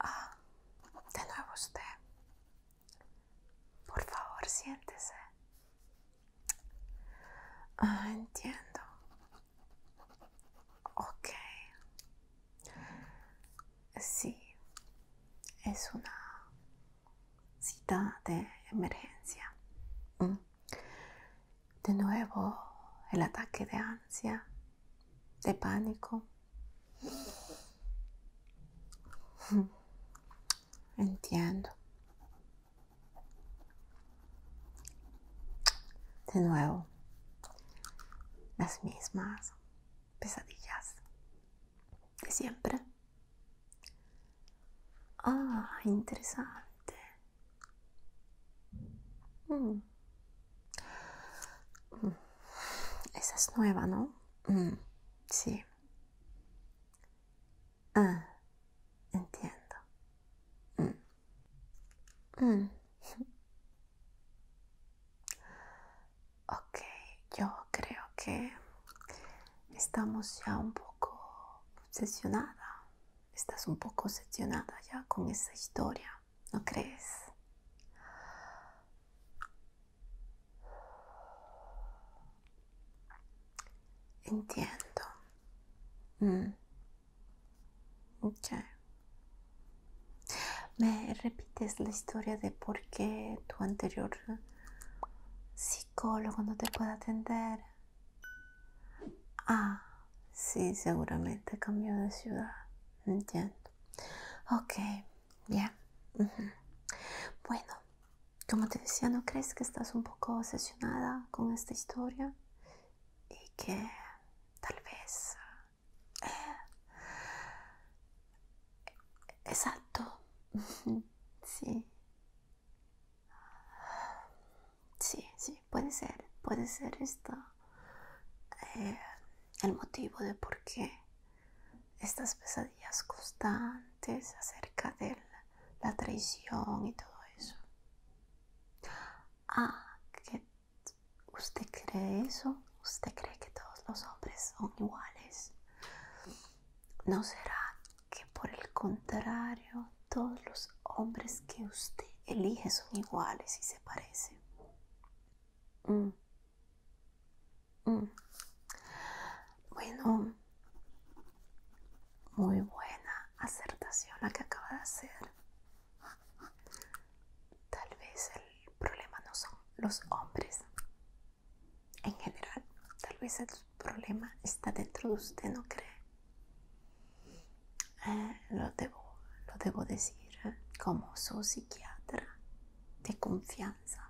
Ah, de nuevo usted. Por favor, siéntese. Ah, entiendo. Ok. Sí, es una cita de emergencia. Mm. De nuevo, el ataque de ansia de pánico. Entiendo. De nuevo, las mismas pesadillas de siempre. Ah, interesante. Mm. Mm. Esa es nueva, ¿no? Mm, sí. Ah, entiendo. Mm. Ok, yo creo que estamos ya un poco obsesionada. Estás un poco obsesionada ya con esa historia. ¿no crees? Entiendo. Mm. ¿Me repites la historia de por qué tu anterior psicólogo no te puede atender? Ah, sí, seguramente cambió de ciudad. Entiendo. Ok, bien. Bueno, como te decía, ¿no crees que estás un poco obsesionada con esta historia? Y que tal vez... Eh, exacto. sí. Sí, sí puede ser, puede ser esto eh, el motivo de por qué estas pesadillas constantes acerca de la, traición y todo eso. Ah, que usted cree eso, usted cree que todos los hombres son iguales. ¿No será que por el contrario todos los hombres que usted elige son iguales y se parecen? Mm. Mm. Bueno, muy buena acertación la que acaba de hacer. Tal vez el problema no son los hombres. En general, tal vez el problema está dentro de usted, ¿no cree? Eh, lo, debo, lo debo decir como su psiquiatra de confianza.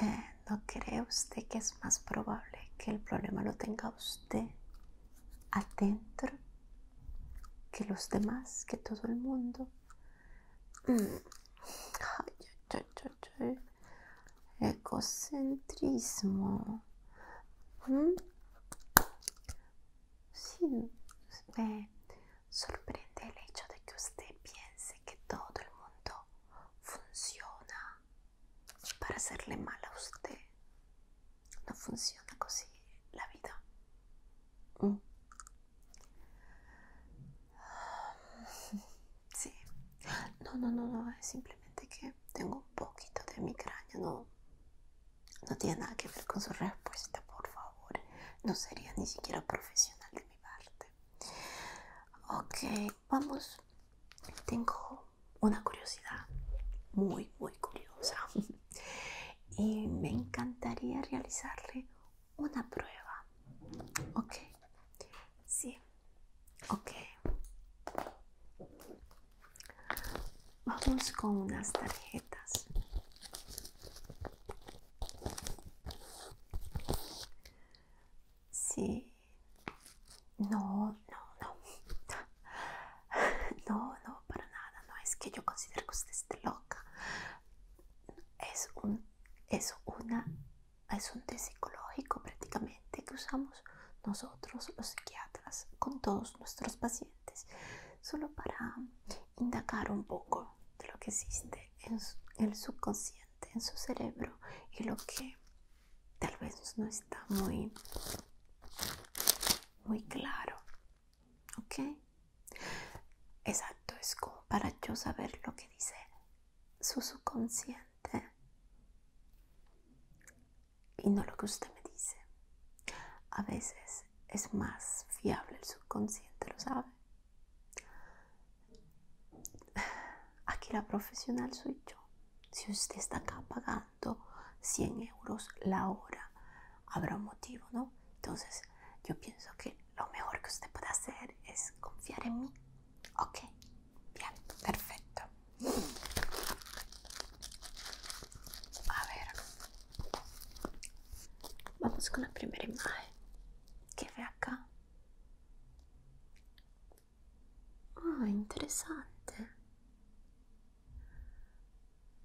Eh, ¿No cree usted que es más probable que el problema lo tenga usted adentro que los demás, que todo el mundo? ecocentrismo. Mm. Egocentrismo. Sí, me eh, sorprende el hecho de que usted piense que todo el mundo funciona para hacerle mal a usted. No funciona así la vida. Mm. Sí. No, no, no, no. Es simplemente que tengo un poquito de migraña, no, no tiene nada que ver con su respuesta, por favor. No sería ni siquiera profesional de mi parte. Ok, vamos. Tengo una curiosidad muy, muy curiosa. y me encantaría realizarle una prueba. Ok, sí, Ok. Vamos con unas tarjetas. Sí. No, no, no. No, no, para nada. No es que yo considero que usted esté loca. Es un, es una, es un psicológico prácticamente que usamos nosotros los psiquiatras con todos nuestros pacientes, solo para indagar un poco de lo que existe en el subconsciente, en su cerebro y lo que tal vez no está muy, muy claro. ¿Ok? Exacto, es como para yo saber lo que dice su subconsciente y no lo que usted me dice. A veces es más fiable el subconsciente, ¿lo sabe? Aquí la profesional soy yo. Si usted está acá pagando 100 euros la hora, habrá un motivo, ¿no? Entonces, yo pienso que lo mejor que usted puede hacer es confiar en mí. Ok, bien, perfecto. A ver, vamos con la primera imagen ¿Qué ve acá. Ah, interesante.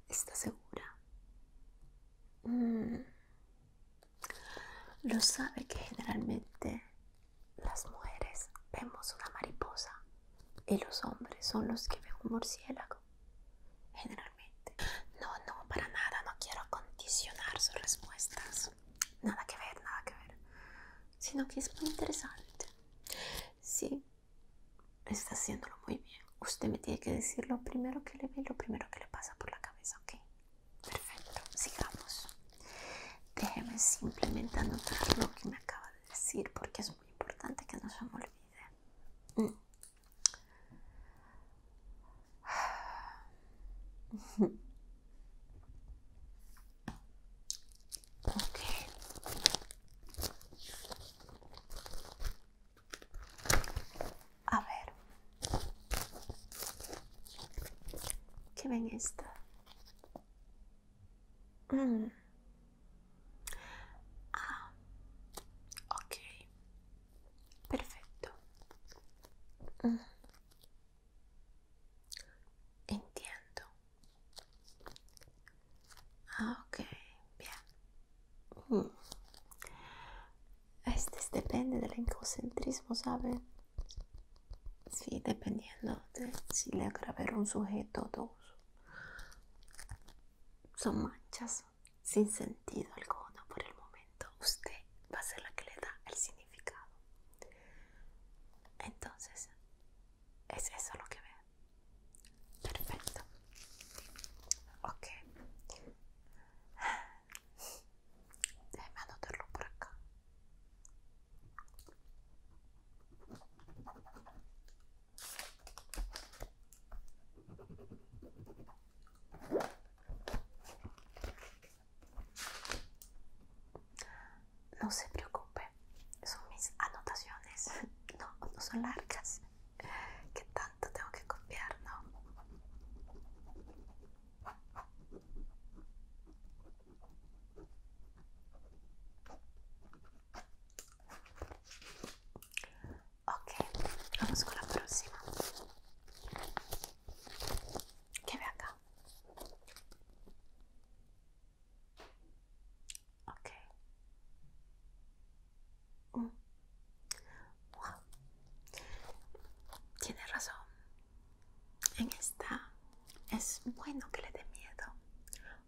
Está segura? Mm. Lo sabe que generalmente las mujeres vemos una mariposa y los hombres son los que ven un murciélago, generalmente. No, no, para nada, no quiero condicionar sus respuestas. Nada que ver, nada que ver. Sino que es muy interesante. Sí, está haciéndolo muy bien. Usted me tiene que decir lo primero que le ve, lo primero que le pasa por la cabeza, ¿ok? Perfecto, sigamos. Déjeme simplemente anotar lo que me acaba de decir porque es muy importante que no se me olvide. Mm. A ver. ¿Qué ven esta? Mm. Ah, ok. Perfecto. Mm. Entiendo. Ah, ok. Bien. Este depende del encocentrismo ¿sabe? Sí, dependiendo de si le agraverá un sujeto o dos son manchas sin sentido alguno por el momento. Usted va a ser la que le da el significado. Entonces, es eso lo que ve. Perfecto. Ok. Déjeme anotarlo por acá. No se preocupe, son mis anotaciones, no, son largas, que tanto tengo que copiar, ¿no? Okay, vamos con la próxima. ¿Qué ve acá? Ok. Mm. razón. En esta es bueno que le dé miedo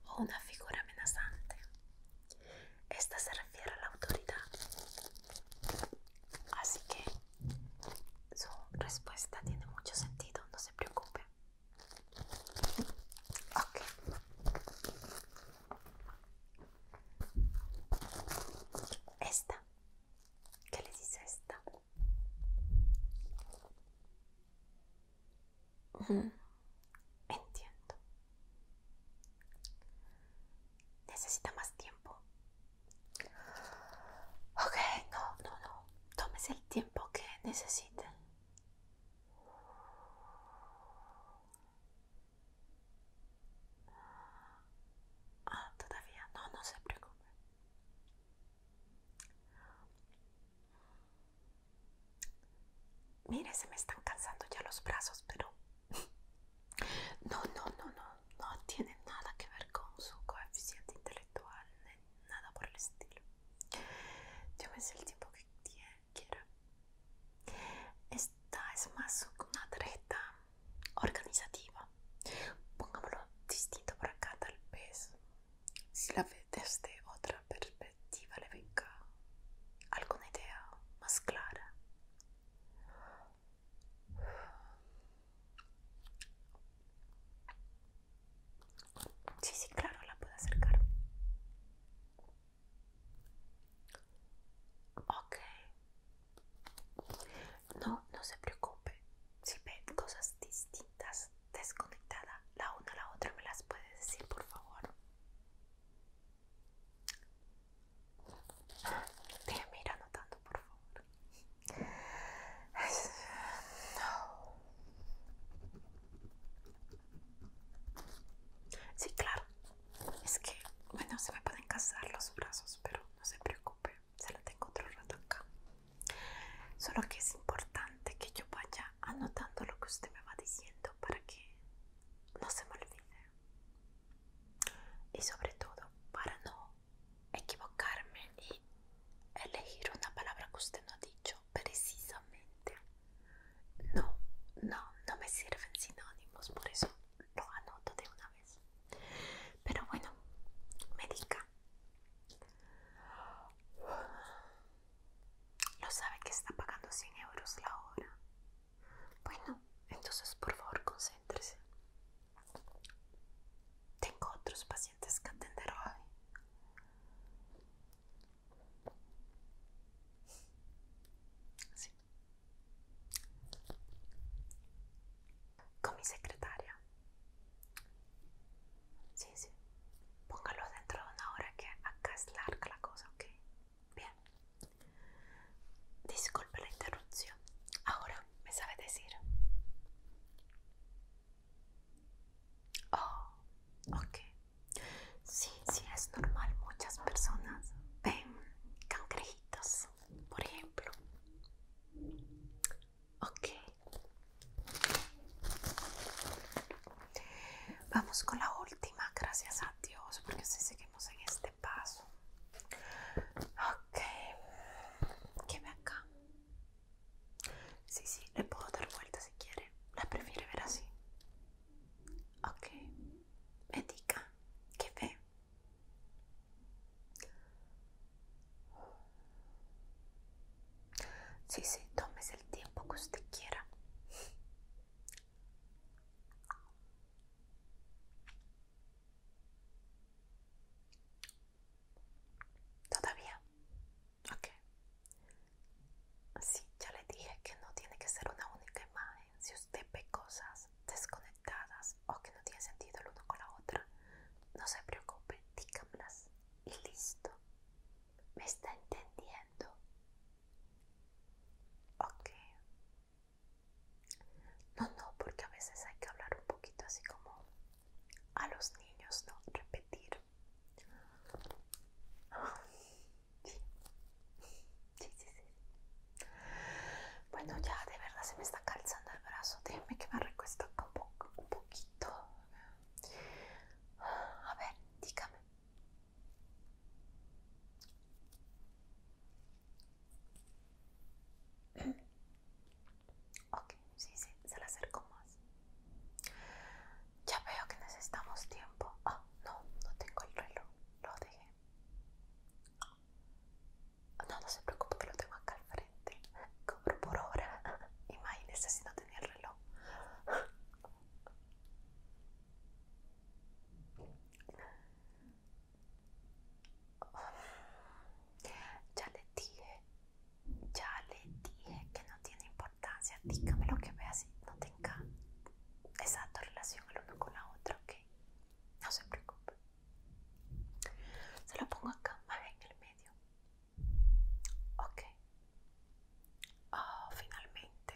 o una figura amenazante. Esta se refiere a la autoridad. Así que su respuesta tiene mucho sentido, no se preocupe. Esta. ¿Qué le dice esta? Entiendo. Necesita más tiempo. Ok, no, no, no. Tómese el tiempo que necesite. Ah, todavía. No, no se preocupe. Mire, se me están cansando ya los brazos, pero... No, no, no, no, no tiene nada que ver con su coeficiente intelectual, nada por el estilo. Yo Llévese el tipo que quiera. Esta es más una tarjeta organizativa. Pongámoslo distinto por acá, tal vez. Si la ve desde otra perspectiva le venga alguna idea más clara. Sí, sí, claro, la puedo acercar. Ok. No, no se preocupe. Si ven cosas distintas desconectada la una a la otra me las puedes decir por favor mira ir anotando por favor sí claro es que bueno se me pueden casar los brazos pero no se preocupe se lo tengo otro rato acá solo que es importante que yo vaya anotando lo que usted me va diciendo para que no se me olvide. Y sobre todo para no equivocarme y elegir una palabra que usted no ha dicho precisamente. No, no, no me sirven sinónimos, por eso lo anoto de una vez. Pero bueno, me diga. Lo sabe que está pagando 100 euros la hora. Bueno, entonces por favor concéntrese. Tengo otros pacientes que atender hoy. Sí. Con mi secretaria. Sí, sí póngalo dentro de una hora que acá es larga la cosa, ¿ok? Bien. Disculpe la interrupción. Ahora, ¿me sabe decir? Oh, ok. Sí, sí, es normal. Muchas personas ven cangrejitos, por ejemplo. Ok, Vamos con la última, gracias a Dios, porque si seguimos en este paso. Ok, que ve acá. Sí, sí, le puedo dar vuelta si quiere. La prefiere ver así. Ok, me diga, ¿qué ve? Sí, sí, tómese el tiempo que usted quiera. Todavía. Ok. Sí, ya le dije que no tiene que ser una única imagen. Si usted ve cosas desconectadas o que no tiene sentido el uno con la otra, no se preocupe, dígamlas y listo. ¿Me está entendiendo? Ok. No, no, porque a veces hay que hablar un poquito así como a los niños, ¿no? Repetir. Sí. Sí, sí, Bueno, ya de verdad se me está calzando el brazo. Déjame que me recuesto un, un poquito. A ver, dígame. Ok, sí, sí, se la acercó más. Ya veo que necesitamos tiempo. Ah, no, no tengo el reloj, lo dejé. No, no se preocupe que lo tengo acá al frente. Cobro por hora. Imagínese si no tenía el reloj. Ya le dije, ya le dije que no tiene importancia. Dígame lo que vea así, no tenga exacta relación el uno con la otra, ¿ok? No se preocupe. Se lo pongo acá, más en el medio. Ok. Ah, finalmente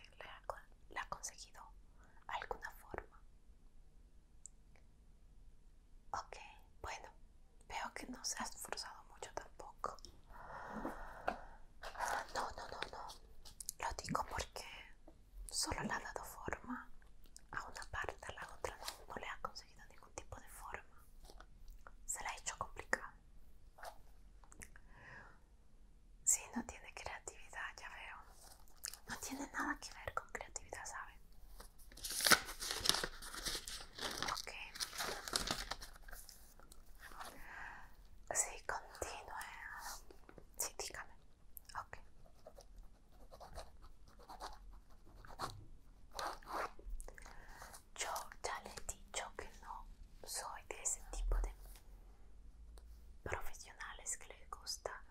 le ha, conseguido alguna forma. Ok, bueno, veo que no se ha esforzado mucho tampoco. Ah, no, no, no, no. Lo digo porque solo le ha dado forma a una parte, a la otra no, le ha conseguido ningún tipo de forma. Se la ha hecho complicada. Si, no tiene creatividad, ya veo. No tiene nada que ver con creatividad, ¿sabe? Ok. Sí, continúe. Sí, dígame. Ok yo ya le he dicho que no soy de ese tipo de profesionales que les gusta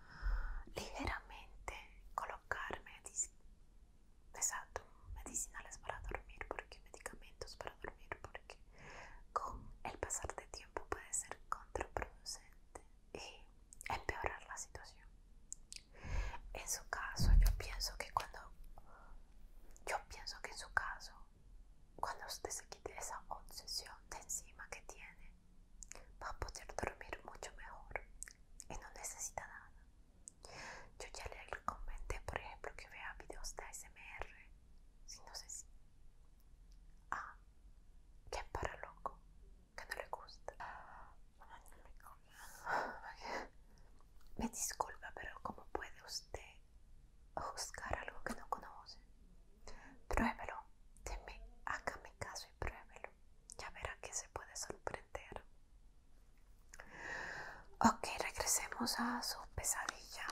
ligeramente colocar medicinales para dormir, porque medicamentos para dormir, porque con el pasar de tiempo puede ser contraproducente y empeorar la situación. En su caso, yo pienso que cuando yo pienso que en su caso cuando usted se quite esa obsesión de encima que tiene, va a poder dormir mucho mejor y no necesita nada. Yo ya le comenté, por ejemplo, que vea videos de ASMR, si no sé si... Ah, que es para loco, que no le gusta. Me disculpa, pero ¿cómo puede usted juzgar algo que no conoce. Pruébelo, acá hágame caso y pruébelo. Ya verá que se puede sorprender. Ok, regresemos a su pesadilla.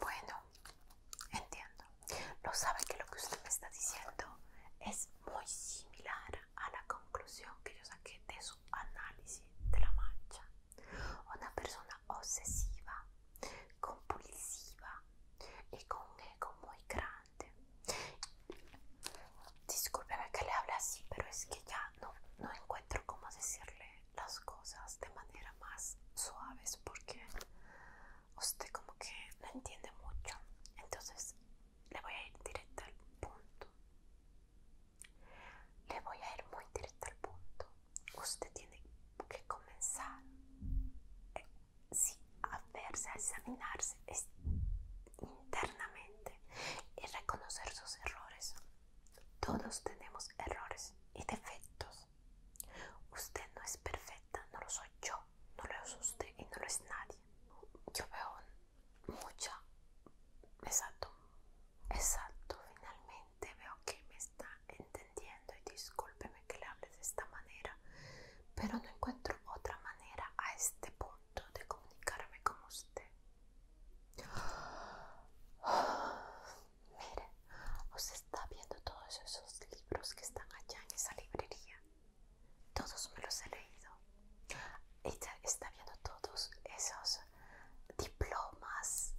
Bueno, entiendo. No sabe que lo que usted me está diciendo es muy similar a la conclusión que yo saqué de su análisis de la mancha. Una persona obsesiva, compulsiva y con un ego muy grande. Discúlpeme que le hable así, pero es que ya no, encuentro cómo decirle las cosas de manera más suave porque usted como que no entiende mucho. Entonces le voy a ir directo al punto. Le voy a ir muy directo al punto. Usted tiene que comenzar eh, a verse, a examinarse internamente y reconocer sus errores. Todos tenemos errores y defectos. Usted no es perfecta, no lo soy yo, no lo es usted y no lo es nadie. Yo veo mucho, Exacto, exacto. Finalmente veo que me está entendiendo y discúlpeme que le hable de esta manera, pero no encuentro otra manera a este punto de comunicarme con usted. Mire, os está viendo todos esos libros que están allá en esa librería. Todos me los he leído. Ella está viendo todos esos diplomas.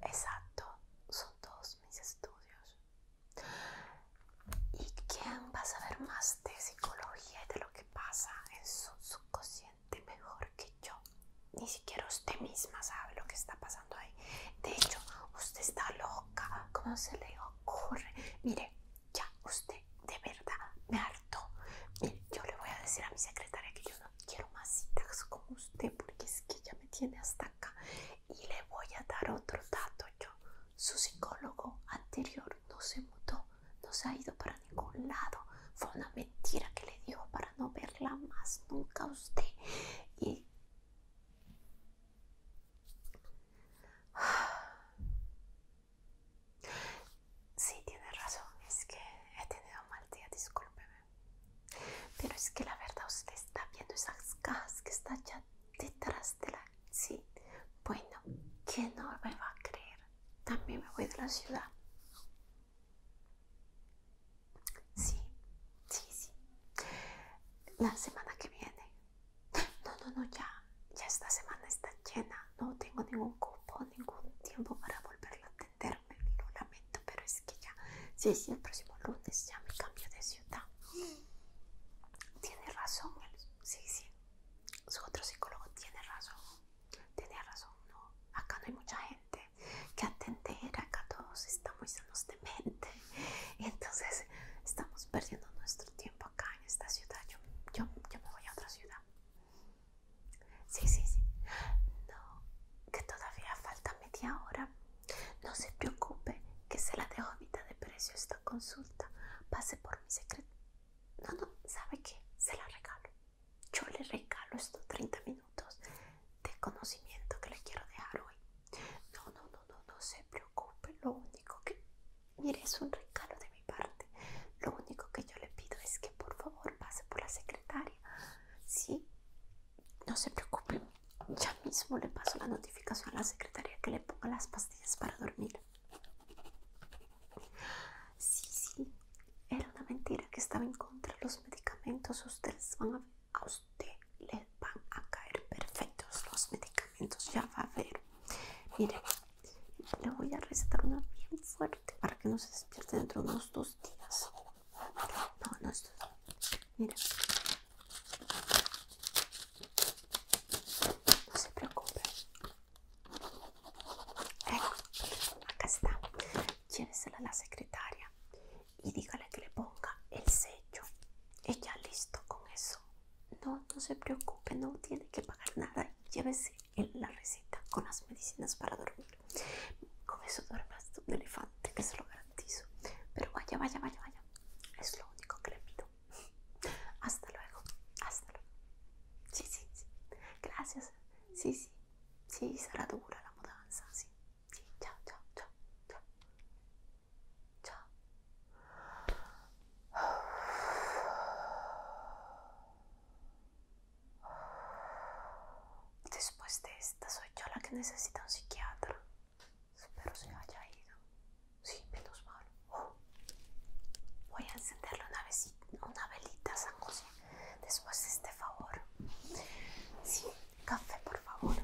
Exacto, son todos mis estudios. ¿Y quién va a saber más de psicología y de lo que pasa en su subconsciente mejor que yo? Ni siquiera usted misma sabe lo que está pasando ahí. De hecho, usted está loca. ¿Cómo se le ocurre? Mire, ya usted de verdad me harto. Yo le voy a decir a mi secretaria que yo no quiero más citas con usted porque es que ya me tiene hasta acá. Y le voy a dar otro dato yo. Su psicólogo anterior no se mudó, no se ha ido para ningún lado. Fue una mentira que le dijo para no verla más nunca a usted. Y Sí, tiene razón, es que he tenido un mal día, discúlpeme. Pero es que la verdad usted está viendo esas cajas que está ya detrás de la... Sí, bueno, ¿quién no me va a creer? También me voy de la ciudad. Sí, sí, sí. La semana que viene. No, no, no, ya. Ya esta semana está llena. No tengo ningún no ocupo ningún tiempo para volverla a atenderme. Lo lamento, pero es que ya, sí, sí, el próximo lunes ya me cambio de ciudad. Tiene razón, sí, sí. Su otro psicólogo tiene razón. Tiene razón, no. Acá no hay mucha gente que atender. Acá todos estamos sanos de mente. entonces estamos perdiendo nuestro tiempo acá en esta ciudad. yo me voy a otra ciudad. Sí, sí, sí. No, que todavía falta media hora. No se preocupe, que se la dejo a mitad de precio esta consulta. Pase por mi secreto. No, no, ¿sabe que Se la regalo. Yo le regalo estos 30 minutos de conocimiento que le quiero dejar hoy. No, no, no, no, no se preocupe. Lo único que... Mire, es un regalo de parte. Lo único que yo le pido es que por favor pase por la secretaria. Sí, no se preocupe. Ya mismo le paso la notificación a la secretaria que le ponga las pastillas para dormir. Sí, sí, era una mentira que estaba en contra los medicamentos. Ustedes van a a usted les van a caer perfectos los medicamentos. Ya va a ver. Mire, le voy a recetar una bien fuerte para que no se despierte dentro de unos dos días. No, no estoy. miren No se preocupe. acá está. Llévesela a la secretaria y dígale que le ponga el sello. Ella listo con eso. No, no se preocupe, no tiene que pagar nada. Llévese en la receta con las medicinas para dormir. Con eso duermas de un elefante, que se lo garantizo. Pero vaya, vaya, vaya, vaya. Es lo único que le pido. Hasta luego. Hasta luego. Sí, sí, sí. Gracias. Sí, sí. Sí, será dura la mudanza. Sí. chao, chao, chao. Chao. Después de esta soy yo la que necesita un psiquiatra. Espero se haya ido. Sí, menos mal. Oh. Voy a encenderle una, velita a San José. Después de este favor. Sí, café, por favor.